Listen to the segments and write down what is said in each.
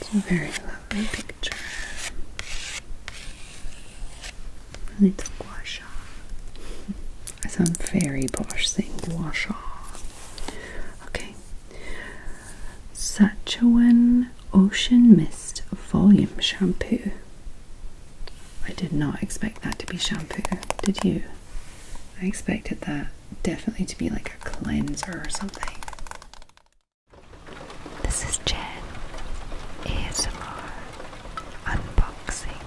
It's a very lovely picture. And it's I sound very posh saying gua Okay. Sachuan Ocean Mist Volume Shampoo. I did not expect that to be shampoo, did you? I expected that definitely to be like a cleanser or something. This is Jen ASMR Unboxing.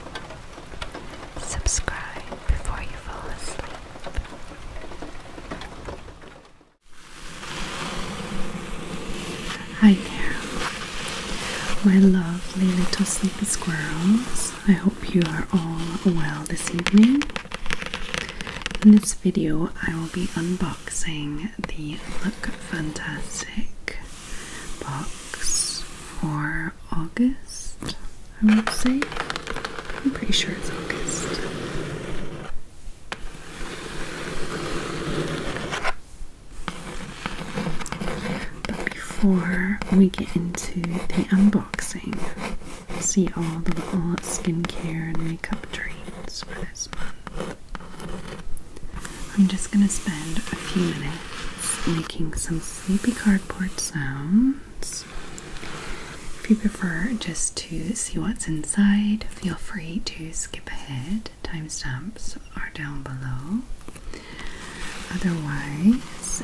Subscribe before you fall asleep. Hi there, my lovely little sleepy squirrels. I hope you are all well this evening. In this video, I will be unboxing the Look Fantastic box for August, I would say. I'm pretty sure it's August. But before we get into the unboxing, see all the little skincare and makeup treats for this month. I'm just going to spend a few minutes making some sleepy cardboard sounds. If you prefer just to see what's inside, feel free to skip ahead. Timestamps are down below. Otherwise,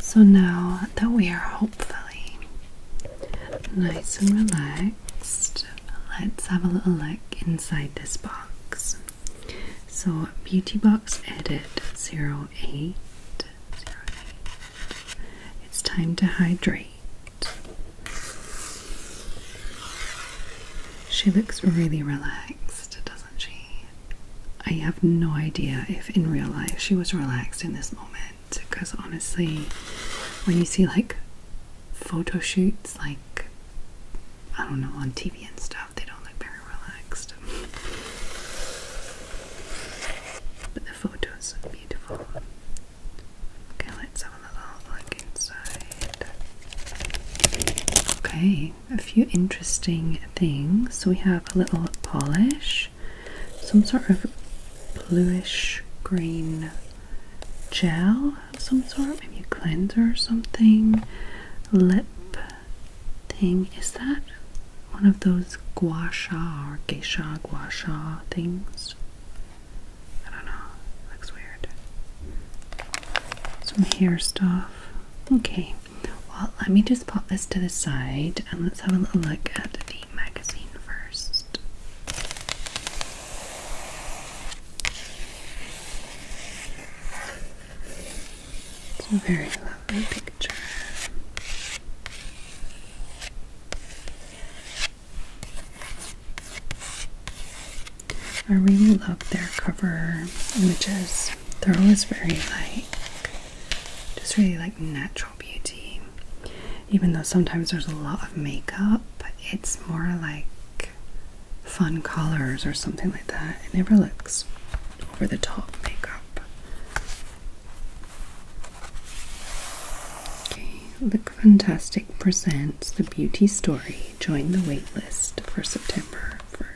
So now that we are hopefully nice and relaxed, let's have a little look inside this box. So, Beauty Box Edit 0808. It's time to hydrate. She looks really relaxed, doesn't she? I have no idea if in real life she was relaxed in this moment because honestly, when you see like photo shoots, like I don't know, on TV and stuff, they don't look very relaxed. But the photos are beautiful. Okay, let's have a little look inside. Okay, a few interesting things. So we have a little polish, some sort of bluish green gel of some sort, maybe a cleanser or something, lip thing. Is that one of those gua sha or geisha gua sha things? I don't know. looks weird. Some hair stuff. Okay. Well, let me just pop this to the side and let's have a little look at the magazine first. It's a very lovely picture. I really love their cover images. They're always very light just really like natural beauty. Even though sometimes there's a lot of makeup, But it's more like fun colors or something like that. It never looks over the top makeup. Okay, Look Fantastic presents The Beauty Story. Join the waitlist for September 1st.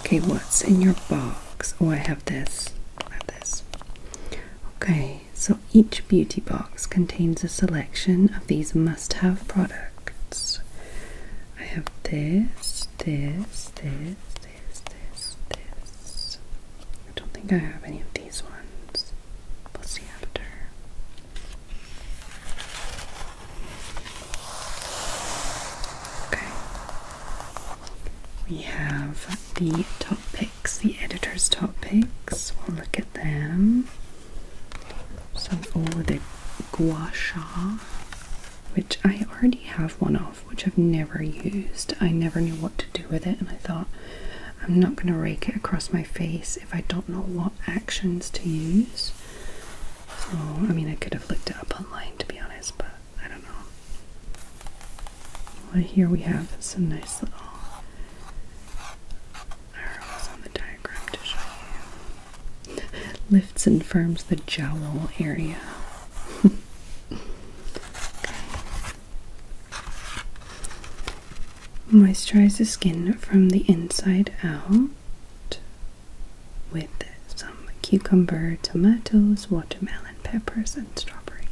Okay, what's in your box? Oh, I have this. I have this. Okay, so each beauty box contains a selection of these must-have products. I have this, this, this, this, this, this. I don't think I have any of these ones. We'll see Okay. We have the top picks, the editor's top picks. We'll look at them. So, oh, the gua sha, which I already have one of, which I've never used. I never knew what to do with it, and I thought I'm not going to rake it across my face if I don't know what actions to use. So, oh, I mean, I could have looked it up online to be honest, but I don't know. Well, here we have some nice little arrows on the diagram to show you. Lifts and firms the jowl area. okay. Moisturize the skin from the inside out with some cucumber, tomatoes, watermelon, peppers, and strawberry.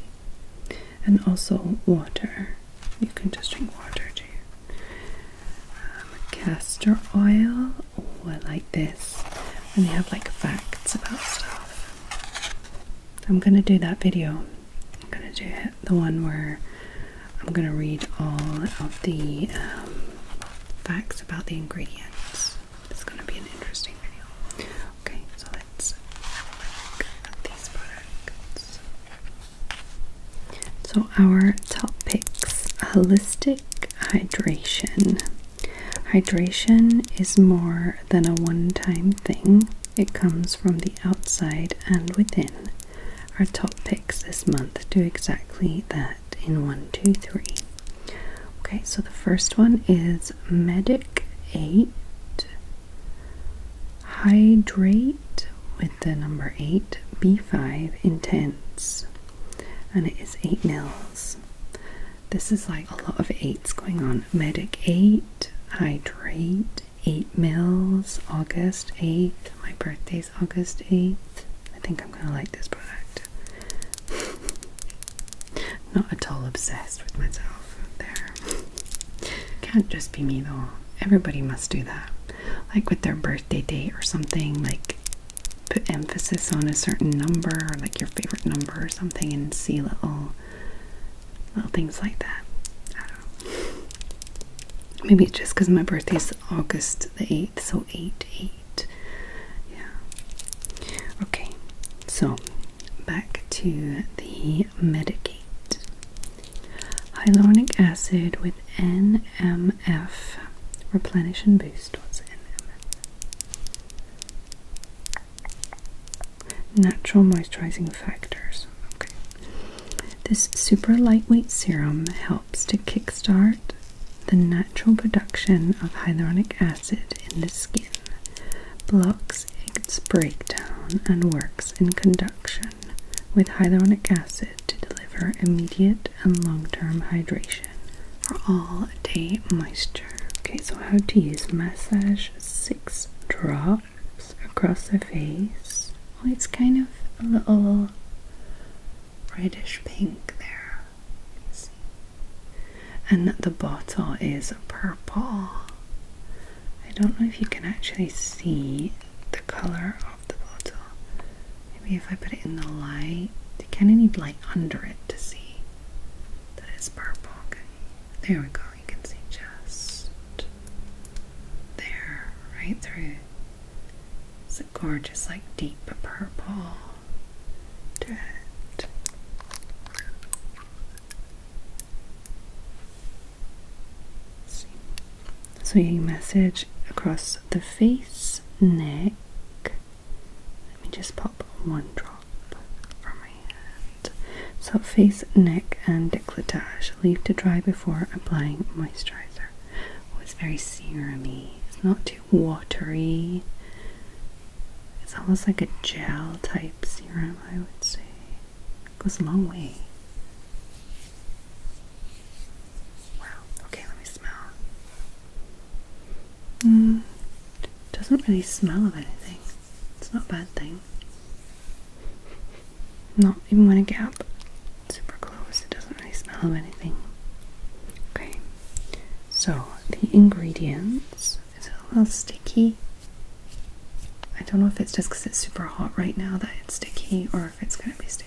And also water. You can just drink water too. Um, castor oil. Oh, I like this. And they have like facts about stuff. I'm gonna do that video. I'm gonna do the one where I'm going to read all of the um, facts about the ingredients. It's going to be an interesting video. Okay, so let's look at these products. So, our top picks holistic hydration. Hydration is more than a one time thing, it comes from the outside and within our top picks this month do exactly that in one, two, three. Okay, so the first one is Medic 8 Hydrate with the number 8 B5 Intense, and it is 8 mils. This is like a lot of 8s going on. Medic 8, Hydrate, 8 mils, August 8th, my birthday. August 8th. I think I'm going to like this product. Not at all obsessed with myself there. Can't just be me though. Everybody must do that. Like with their birthday date or something, like put emphasis on a certain number or like your favorite number or something and see little little things like that. Maybe it's just because my birthday's August the 8th, so 8 8. Yeah. Okay, so back to the Medicate. Hyaluronic acid with NMF. Replenish and boost. What's NMF? Natural moisturizing factors. Okay. This super lightweight serum helps helps to kickstart the natural production of hyaluronic acid in the skin, blocks its breakdown, and works in conduction with hyaluronic acid to deliver immediate and long term hydration for all day moisture. Okay, so how to use massage six drops across the face well, it's kind of a little reddish pink there. And the bottle is purple. I don't know if you can actually see the color of the bottle. Maybe if I put it in the light, you kind of need light under it to see that it's purple. Okay. There we go. You can see just there, right through. It's a gorgeous, like deep purple to it. See. So you message across the face, neck. Let me just pop one drop from my hand. So face, neck, and decolletage. Leave to dry before applying moisturizer. Oh, it's very serumy. It's not too watery. It's almost like a gel type serum, I would say. It goes a long way. Wow. Okay, let me smell. Mm, doesn't really smell of anything. It's not a bad thing not even when I get up super close, it doesn't really smell of anything. Okay, so the ingredients is a little sticky. I don't know if it's just because it's super hot right now that it's sticky or if it's going to be sticky.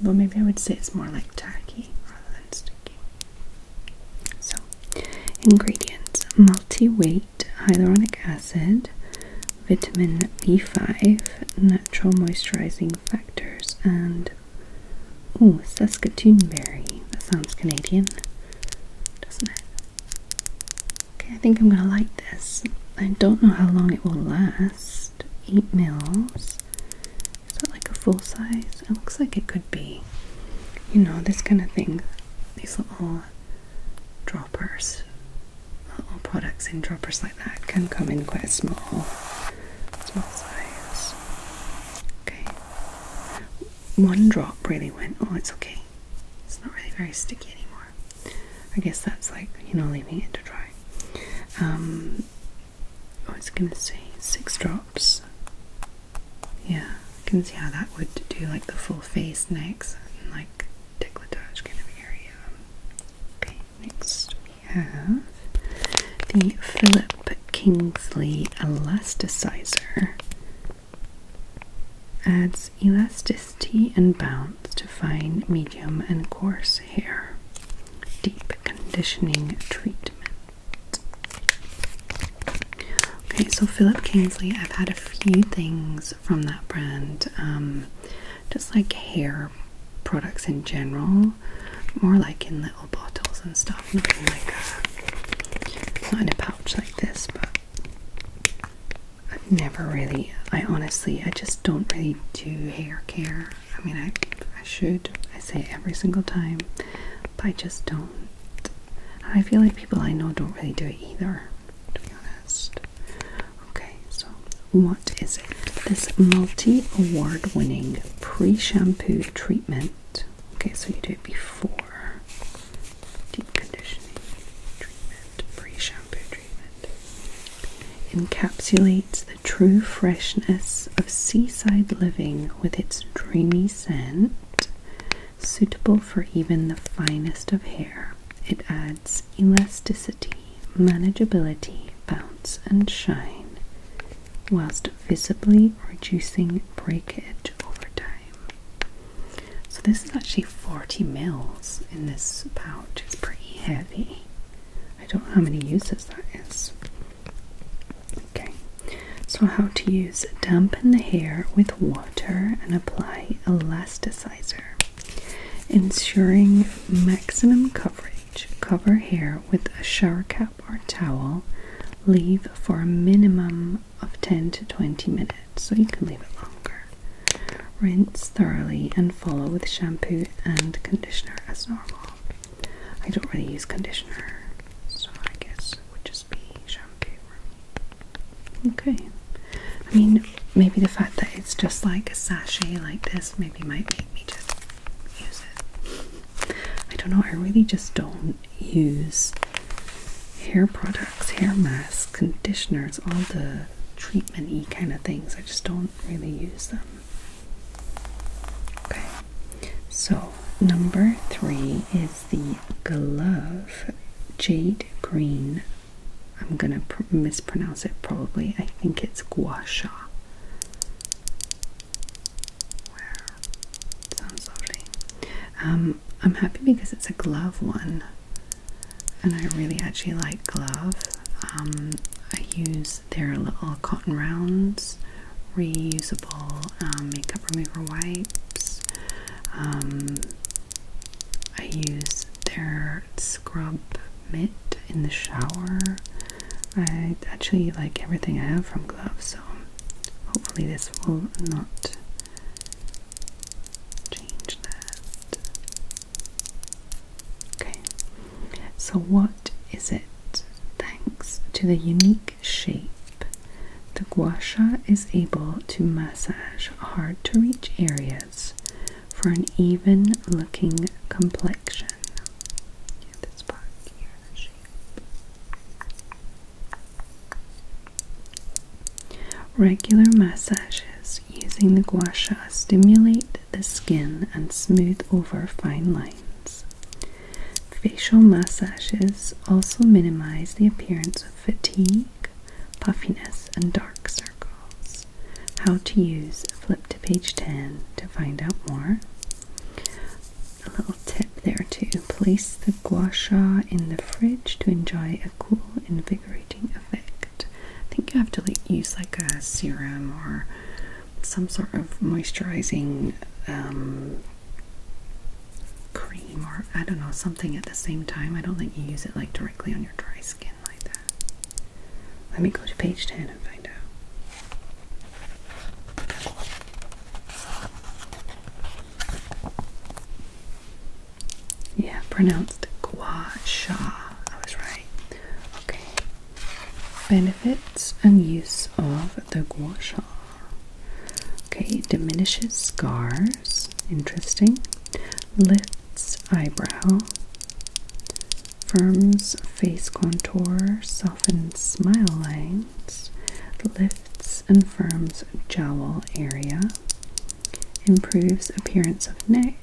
But maybe I would say it's more like tacky rather than sticky. So, ingredients multi weight hyaluronic acid, vitamin B5, natural moisturizing factors, and oh, Saskatoon berry. That sounds Canadian, doesn't it? Okay, I think I'm gonna like this. I don't know how long it will last. Eight mils. Is that like a full size? It looks like it could be. You know, this kind of thing. These little droppers little products in droppers like that can come in quite a small, small size. Okay. One drop really went, oh, it's okay. It's not really very sticky anymore. I guess that's like, you know, leaving it to dry. Um, oh, I was going to say six drops. Yeah, I can see how that would do like the full face, next, like tickle touch kind of area. Okay, next we have the Philip Kingsley Elasticizer. Adds elasticity and bounce to fine, medium, and coarse hair. Deep conditioning treatment. Okay, so Philip Kingsley, I've had a few things from that brand, um, just like hair products in general, more like in little bottles and stuff. not in a pouch like this, but I've never really, I honestly, I just don't really do hair care. I mean, I, I should, I say every single time, but I just don't. I feel like people I know don't really do it either, to be honest. Okay, so what is it? This multi award winning pre shampoo treatment. Okay, so you do it before deep conditioning treatment, pre shampoo treatment. Encapsulates the true freshness of seaside living with its dreamy scent. Suitable for even the finest of hair. It adds elasticity manageability, bounce and shine, whilst visibly reducing breakage over time. So this is actually 40 mils in this pouch. It's pretty heavy. I don't know how many uses that is. Okay, so how to use dampen the hair with water and apply elasticizer ensuring maximum coverage. Cover hair with a shower cap or towel. Leave for a minimum of 10 to 20 minutes, so you can leave it longer. Rinse thoroughly and follow with shampoo and conditioner as normal. I don't really use conditioner, so I guess it would just be shampoo. Okay. I mean, maybe the fact that it's just like a sachet like this maybe might make me just use it. I don't know, I really just don't use hair products, hair masks, conditioners, all the treatment kind of things. I just don't really use them. Okay, so number three is the glove jade green I'm gonna mispronounce it probably. I think it's gua sha. Wow. Sounds lovely. Um, I'm happy because it's a glove one, and I really actually like glove. Um, I use their little cotton rounds, reusable um, makeup remover wipes. Um, I use their scrub mitt in the shower. I actually like everything I have from gloves, so hopefully this will not change that. Okay, so what is it? Thanks to the unique shape, the guasha is able to massage hard to reach areas for an even looking complexion. Regular massages using the gua sha stimulate the skin and smooth over fine lines. Facial massages also minimize the appearance of fatigue, puffiness, and dark circles. How to use flip to page 10 to find out more. A little tip there too. Place the gua sha in the fridge to enjoy a cool, invigorating effect. I think you have to like, use like a serum or some sort of moisturizing um, cream or I don't know, something at the same time. I don't think you use it like directly on your dry skin like that. Let me go to page 10 and find out. Yeah, pronounced gua sha. I was right. Okay. Benefits and use of the gua sha. Okay, diminishes scars. Interesting. Lifts eyebrow. Firms face contour, softens smile lines, lifts and firms jowl area, improves appearance of neck,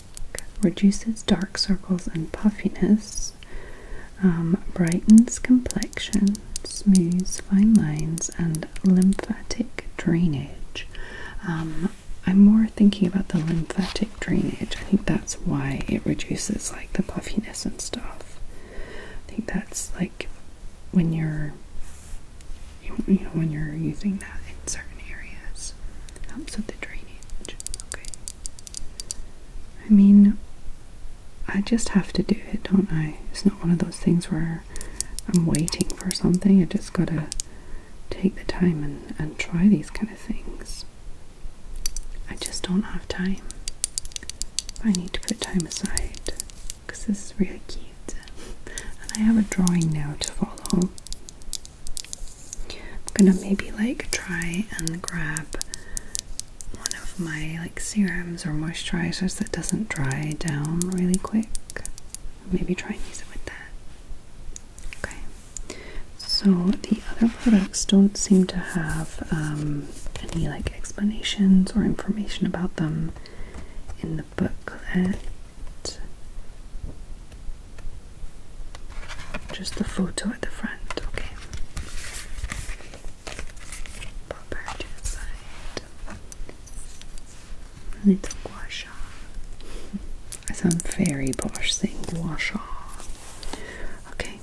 reduces dark circles and puffiness, um, brightens complexion, smooths fine lines and lymphatic drainage. Um, I'm more thinking about the lymphatic drainage. I think that's why it reduces like the puffiness and stuff. I think that's like when you're you know when you're using that in certain areas. It helps with the drainage. Okay. I mean I just have to do it, don't I? It's not one of those things where I'm waiting for something. I just gotta take the time and, and try these kind of things. I just don't have time. I need to put time aside because this is really cute. And I have a drawing now to follow. I'm gonna maybe like try and grab one of my like serums or moisturizers that doesn't dry down really quick maybe try and use it with that. Okay. So the other products don't seem to have um, any like explanations or information about them in the booklet. Just the photo at the front, okay a little gua sha. Some very posh thing, gua sha. Okay.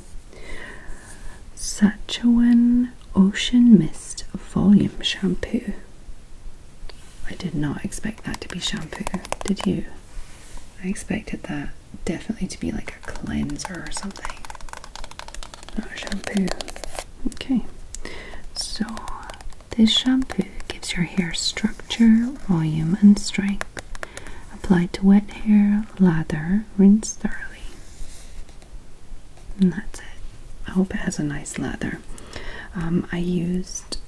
Sachuan Ocean Mist Volume Shampoo. I did not expect that to be shampoo, did you? I expected that definitely to be like a cleanser or something. Not shampoo. Okay. So this shampoo gives your hair structure, volume, and strength. Apply to wet hair, lather, rinse thoroughly. And that's it. I hope it has a nice lather. Um, I used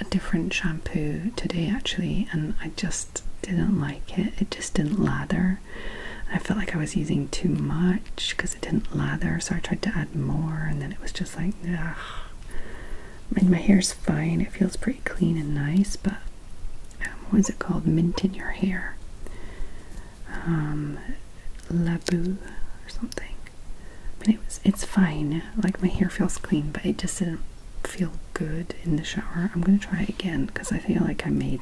a different shampoo today actually, and I just didn't like it. It just didn't lather. I felt like I was using too much because it didn't lather, so I tried to add more, and then it was just like, ugh. I mean, my hair's fine. It feels pretty clean and nice, but um, what is it called? Mint in your hair. Um, Labu or something. But it was, it's fine. Like my hair feels clean, but it just didn't feel good in the shower. I'm going to try it again because I feel like I made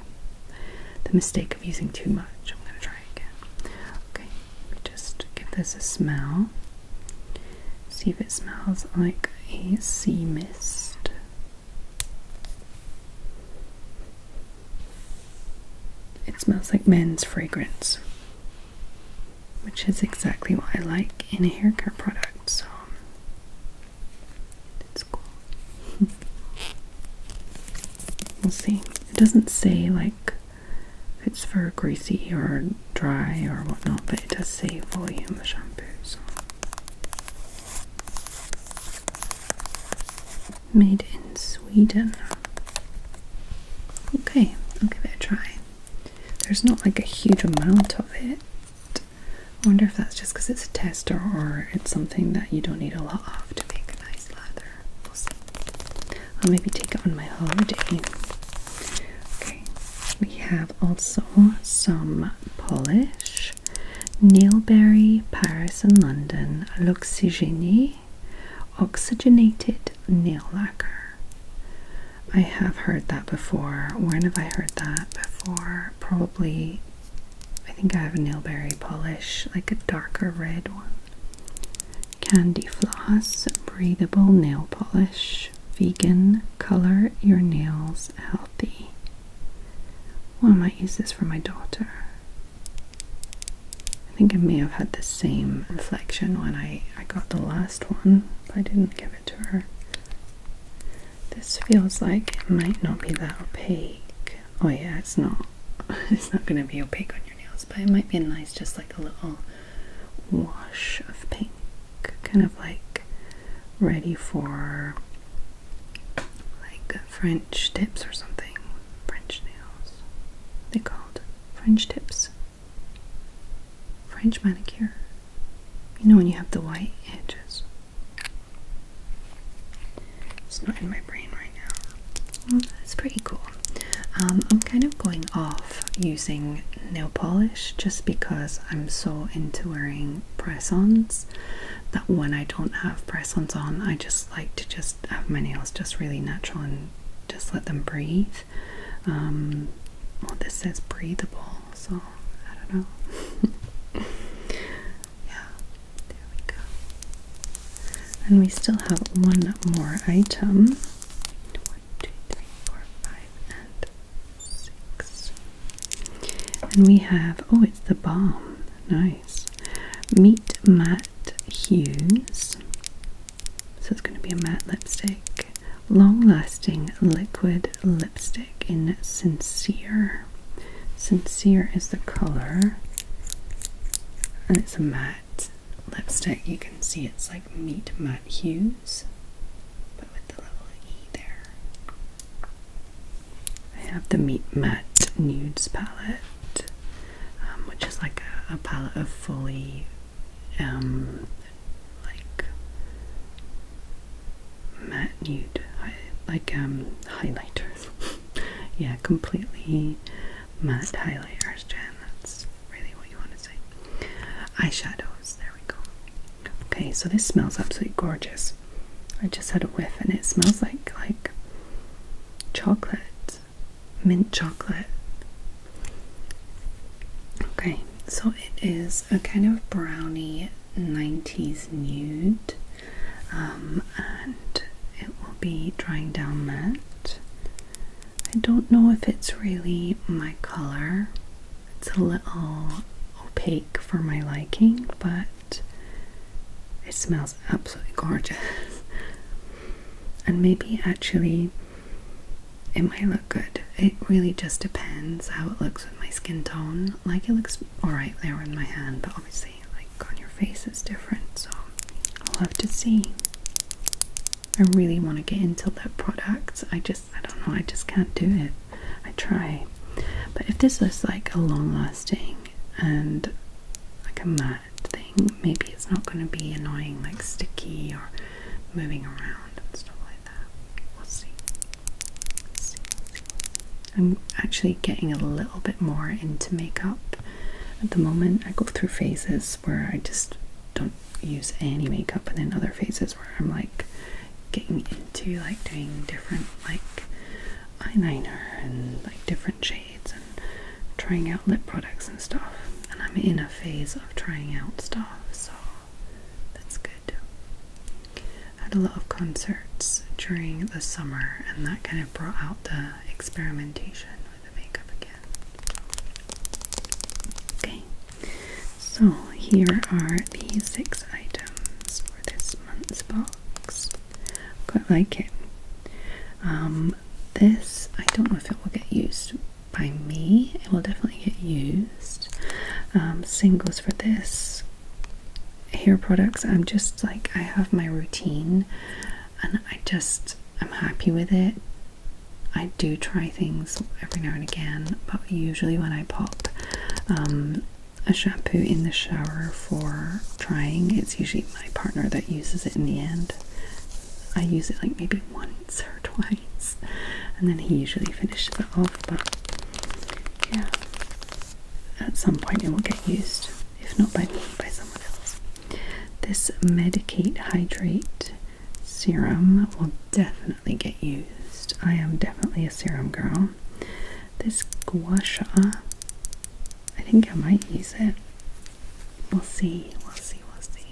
the mistake of using too much. I'm going to try it again. Okay, just give this a smell. See if it smells like a sea mist. It smells like men's fragrance, which is exactly what I like in a hair care product, so it's cool. we'll see. It doesn't say like it's for greasy or dry or whatnot, but it does save volume the shampoo. Made in Sweden. Okay, I'll give it a try. There's not like a huge amount of it. I wonder if that's just because it's a tester or it's something that you don't need a lot of to make a nice lather. I'll maybe take it on my holiday. Okay, we have also some Polish, Nailberry, Paris and London, L'Oxygenie, Oxygenated Nail Lacquer. I have heard that before. When have I heard that before? Probably, I think I have a Nailberry polish, like a darker red one candy floss, breathable nail polish, vegan, color your nails healthy. Why am I might this for my daughter. I think I may have had the same reflection when I, I got the last one, but I didn't give it to her. This feels like it might not be that opaque. Oh yeah, it's not. It's not going to be opaque on your nails, but it might be nice just like a little wash of pink, kind of like ready for like French tips or something. French nails. They called French tips. French manicure. You know when you have the white edges. It's not in my brain right now. Well, that's pretty cool. Um, I'm kind of going off using nail polish just because I'm so into wearing press-ons that when I don't have press-ons on, I just like to just have my nails just really natural and just let them breathe. Um, this says breathable, so I don't know. yeah, there we go. And we still have one more item, and six. And we have oh, it's the bomb! Nice. Meet Matte Hues. So it's going to be a matte lipstick. Long lasting liquid lipstick in Sincere. Sincere is the colour. And it's a matte lipstick, you can see it's like meat matte hues, but with the little E there. I have the meat matte nudes palette, um, which is like a, a palette of fully, um, like matte nude, like um, highlighters. yeah, completely matte highlighters, Jen. That's really what you want to say. Eyeshadows, there we go. Okay, so this smells absolutely gorgeous. I just had a whiff and it smells like like chocolate, mint chocolate. Okay, so it is a kind of brownie 90s nude um, and it will be drying down matte I don't know if it's really my color. It's a little opaque for my liking, but it smells absolutely gorgeous. and maybe actually it might look good. It really just depends how it looks with my skin tone. Like it looks alright there with my hand, but obviously like on your face it's different, so I'll have to see. I really want to get into that product. I just, I don't know, I just can't do it. I try. But if this was like a long lasting and like a matte thing, maybe it's not going to be annoying, like sticky or moving around and stuff like that. We'll see. I'm actually getting a little bit more into makeup at the moment. I go through phases where I just don't use any makeup, and then other phases where I'm like getting into like doing different like eyeliner and like different shades and trying out lip products and stuff. And I'm in a phase of trying out stuff, so that's good. I had a lot of concerts during the summer, and that kind of brought out the experimentation the makeup again. Okay, so here are the six items for this month's box. Quite like it. Um, this, I don't know if it will get used by me, it will definitely get used. Um, singles for this hair products, I'm just like, I have my routine and I just, I'm happy with it. I do try things every now and again, but usually when I pop um, a shampoo in the shower for trying, it's usually my partner that uses it in the end. I use it like maybe once or twice, and then he usually finishes it off. But yeah, at some point it will get used, if not by me, by someone else. This Medicate Hydrate serum will definitely get used. I am definitely a serum girl. This Gua I think I might use it. We'll see, we'll see, we'll see.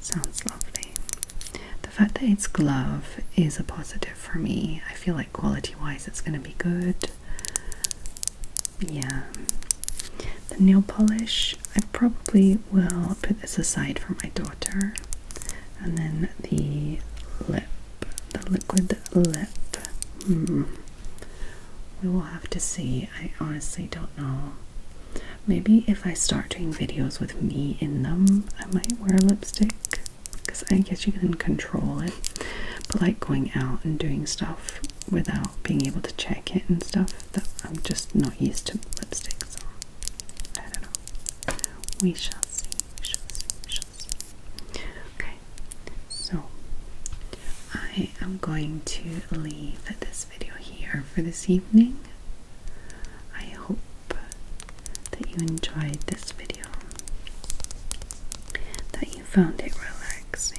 Sounds lovely. The fact that it's glove is a positive for me. I feel like quality wise it's going to be good. Yeah. The nail polish, I probably will put this aside for my daughter. And then the lip, the liquid lip. Hmm. We will have to see. I honestly don't know. Maybe if I start doing videos with me in them, I might wear lipstick because I guess you can control it. But like going out and doing stuff without being able to check it and stuff that I'm just not used to lipsticks so I don't know. We shall see. We shall see. We shall see. Okay. So I am going to leave this video here for this evening. I hope that you enjoyed this video, that you found it relaxing,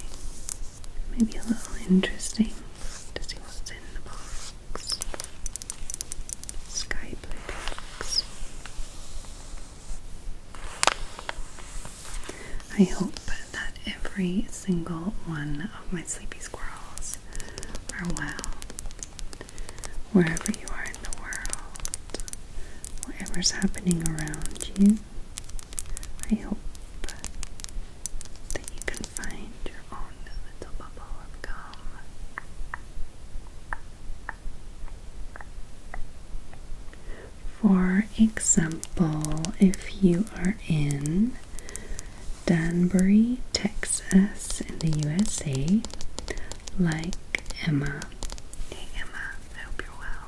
Maybe a little interesting to see what's in the box. Sky box. I hope that every single one of my sleepy squirrels are well. Wherever you are in the world, whatever's happening around you, I hope that you can find your own little bubble of calm. For example, if you are in Danbury, Texas, in the USA, like Emma. Hey Emma, I hope you're well